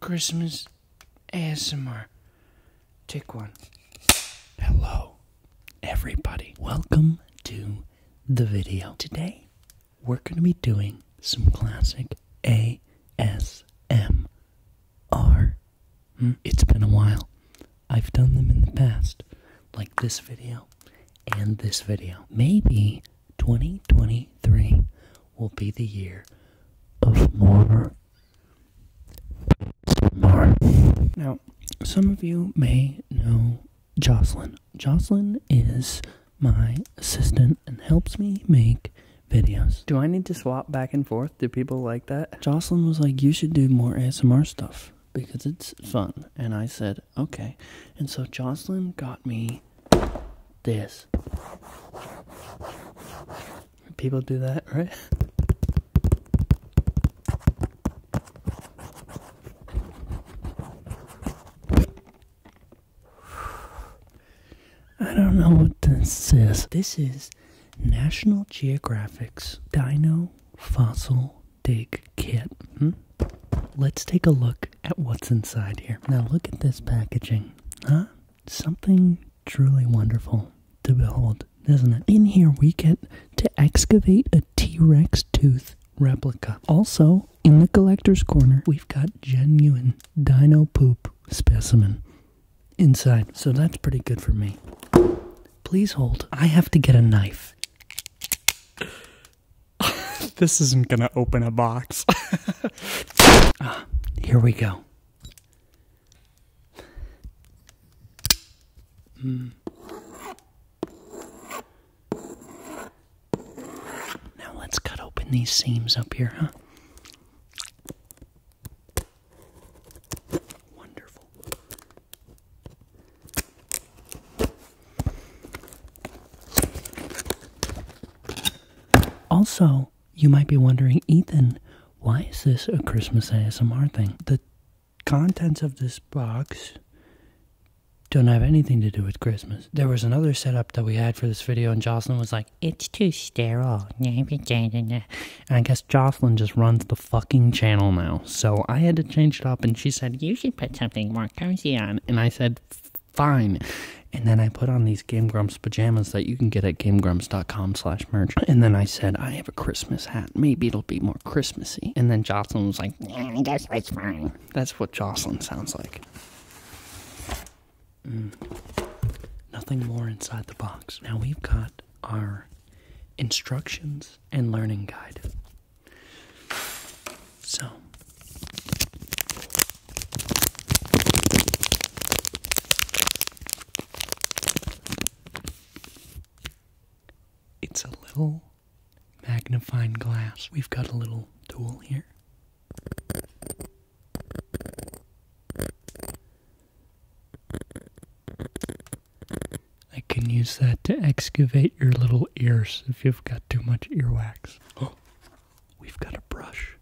Christmas ASMR. Take one. Hello, everybody. Welcome to the video. Today, we're going to be doing some classic ASMR. Hmm? It's been a while. I've done them in the past, like this video and this video. Maybe 2023 will be the year of more now, some of you may know Jocelyn. Jocelyn is my assistant and helps me make videos. Do I need to swap back and forth? Do people like that? Jocelyn was like, you should do more ASMR stuff because it's fun. And I said, okay. And so Jocelyn got me this. People do that, right? I don't know what this is. This is National Geographic's Dino Fossil Dig Kit. Hmm? Let's take a look at what's inside here. Now, look at this packaging. Huh? something truly wonderful to behold, isn't it? In here, we get to excavate a T Rex tooth replica. Also, in the collector's corner, we've got genuine dino poop specimen inside. So that's pretty good for me. Please hold. I have to get a knife. this isn't gonna open a box. ah, here we go. Hmm. Now let's cut open these seams up here, huh? Wonderful. Also, you might be wondering, Ethan, why is this a Christmas ASMR thing? The contents of this box don't have anything to do with Christmas. There was another setup that we had for this video, and Jocelyn was like, It's too sterile. And I guess Jocelyn just runs the fucking channel now. So I had to change it up, and she said, You should put something more cozy on. And I said, fine. And then I put on these Game pajamas that you can get at GameGrumps.com slash merch. And then I said, I have a Christmas hat. Maybe it'll be more Christmassy. And then Jocelyn was like, that's what Jocelyn sounds like. Mm. Nothing more inside the box. Now we've got our instructions and learning guide. So it's a little magnifying glass. We've got a little tool here. I can use that to excavate your little ears if you've got too much earwax. Oh, We've got a brush.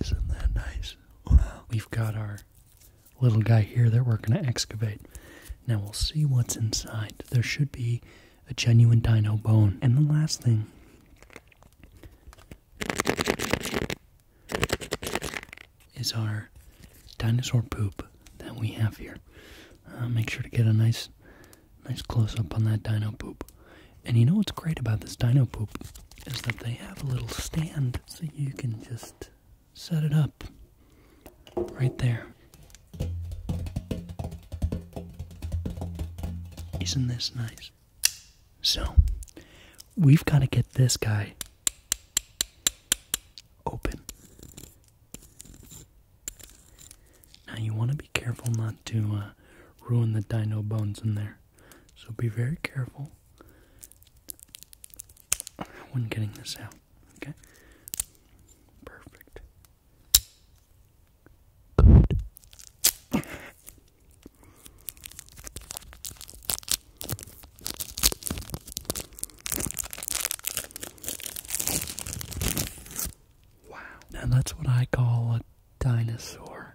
Isn't that nice? Wow. We've got our little guy here that we're going to excavate. Now we'll see what's inside. There should be a genuine dino bone. And the last thing is our dinosaur poop that we have here. Uh, make sure to get a nice, nice close up on that dino poop. And you know what's great about this dino poop is that they have a little stand so you can just set it up right there. Isn't this nice? So, we've got to get this guy open. Now, you want to be careful not to uh, ruin the dino bones in there. So, be very careful when getting this out. Okay? Perfect. Good. Wow. Now that's what I call a dinosaur.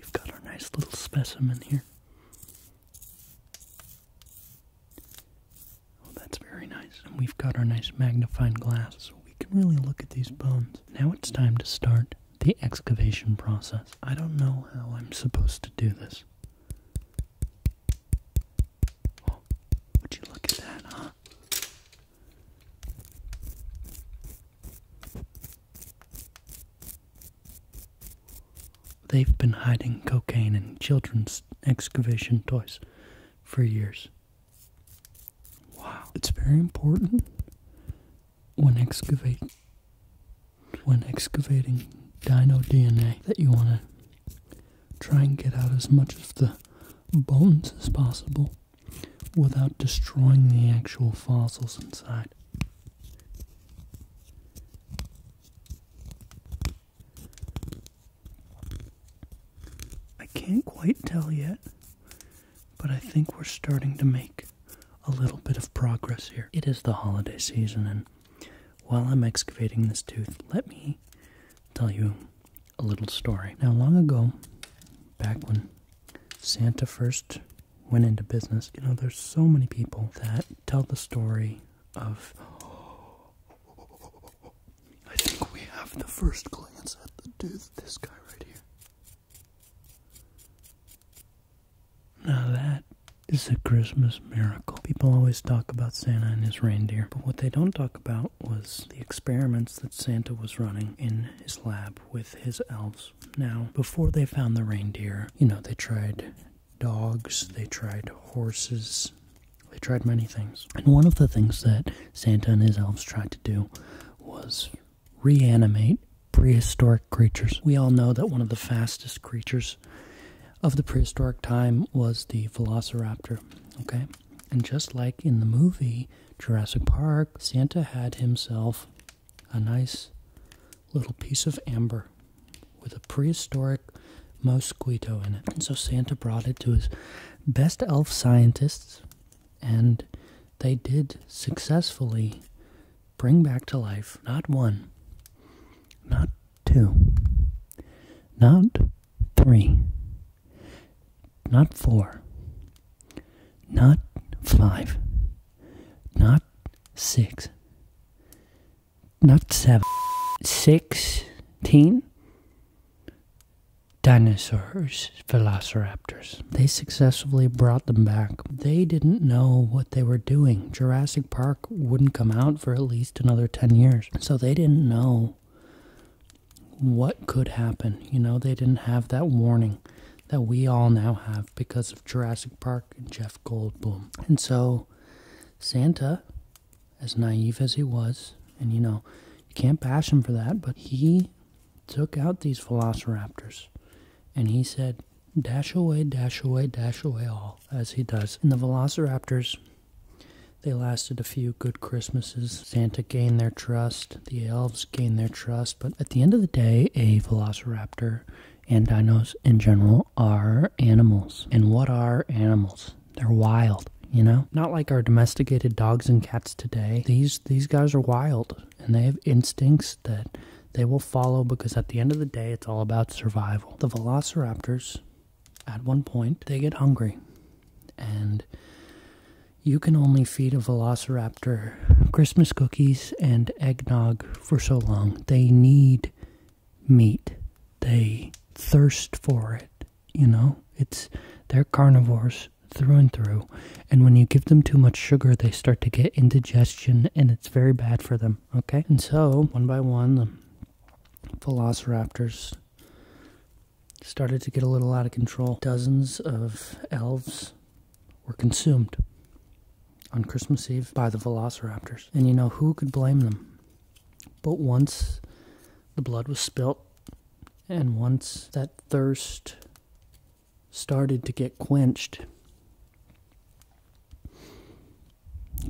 We've got our nice little specimen here. Oh, that's very nice. And we've got our nice magnifying glass so we can really look at these bones. Now it's time to start the excavation process. I don't know how I'm supposed to do this. Oh, would you look at that, They've been hiding cocaine in children's excavation toys for years. Wow. It's very important when excavating when excavating dino DNA that you want to try and get out as much of the bones as possible without destroying the actual fossils inside. I can't quite tell yet, but I think we're starting to make a little bit of progress here. It is the holiday season, and while I'm excavating this tooth, let me tell you a little story. Now, long ago, back when Santa first went into business. You know, there's so many people that tell the story of. I think we have the first glance at the dude, this guy right here. Now that is a Christmas miracle. People always talk about Santa and his reindeer, but what they don't talk about was the experiments that Santa was running in his lab with his elves. Now, before they found the reindeer, you know, they tried dogs, they tried horses, they tried many things. And one of the things that Santa and his elves tried to do was reanimate prehistoric creatures. We all know that one of the fastest creatures of the prehistoric time was the velociraptor, okay? And just like in the movie, Jurassic Park, Santa had himself a nice little piece of amber with a prehistoric mosquito in it. And so Santa brought it to his best elf scientists, and they did successfully bring back to life not one, not two, not three, not four. Not five. Not six. Not seven. Sixteen dinosaurs, velociraptors. They successfully brought them back. They didn't know what they were doing. Jurassic Park wouldn't come out for at least another 10 years. So they didn't know what could happen. You know, they didn't have that warning that we all now have because of Jurassic Park and Jeff Goldblum. And so Santa, as naive as he was, and you know, you can't bash him for that, but he took out these velociraptors and he said, dash away, dash away, dash away all, as he does. And the velociraptors they lasted a few good Christmases. Santa gained their trust, the elves gained their trust, but at the end of the day, a velociraptor and dinos in general are animals. And what are animals? They're wild, you know? Not like our domesticated dogs and cats today. These these guys are wild and they have instincts that they will follow because at the end of the day it's all about survival. The velociraptors at one point they get hungry and you can only feed a velociraptor Christmas cookies and eggnog for so long. They need meat. They thirst for it, you know? It's they're carnivores through and through. And when you give them too much sugar, they start to get indigestion and it's very bad for them, okay? And so, one by one, the velociraptors started to get a little out of control. Dozens of elves were consumed on Christmas Eve by the velociraptors. And you know, who could blame them? But once the blood was spilt, and once that thirst started to get quenched,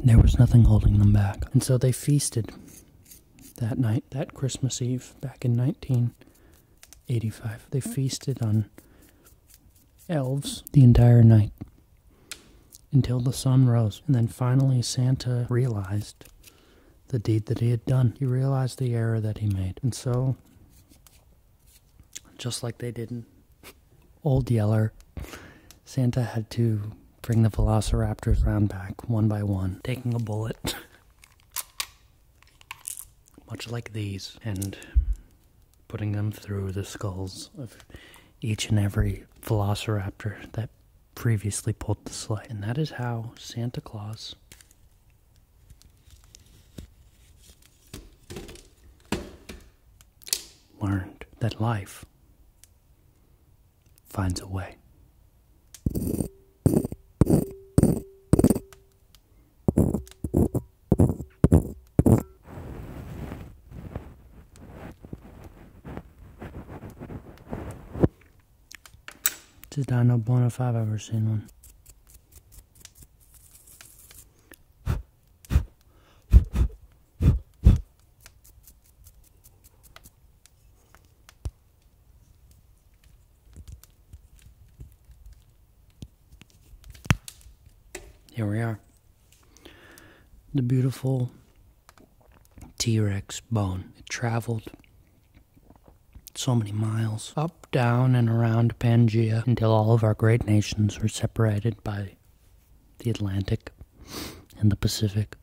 there was nothing holding them back. And so they feasted that night, that Christmas Eve back in 1985. They hmm. feasted on elves the entire night until the sun rose. And then finally, Santa realized the deed that he had done. He realized the error that he made. And so, just like they did in Old Yeller Santa had to bring the velociraptors round back one by one, taking a bullet. Much like these, and putting them through the skulls of each and every velociraptor that previously pulled the sled. And that is how Santa Claus learned that life finds a way. Just I know bone if I've ever seen one. Here we are. The beautiful T Rex bone. It traveled so many miles up, down, and around Pangaea until all of our great nations were separated by the Atlantic and the Pacific.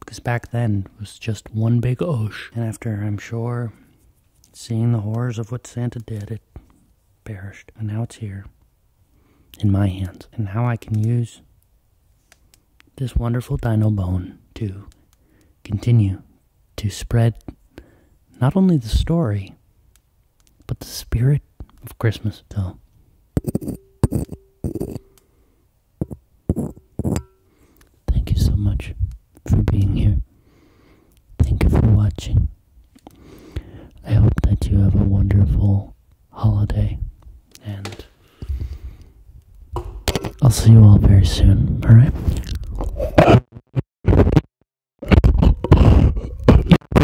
Because back then it was just one big ocean. And after, I'm sure, seeing the horrors of what Santa did, it perished. And now it's here in my hands. And now I can use this wonderful dino bone to continue to spread not only the story, but the spirit of Christmas still. Thank you so much for being here. Thank you for watching. I hope that you have a wonderful holiday, and I'll see you all very soon, alright?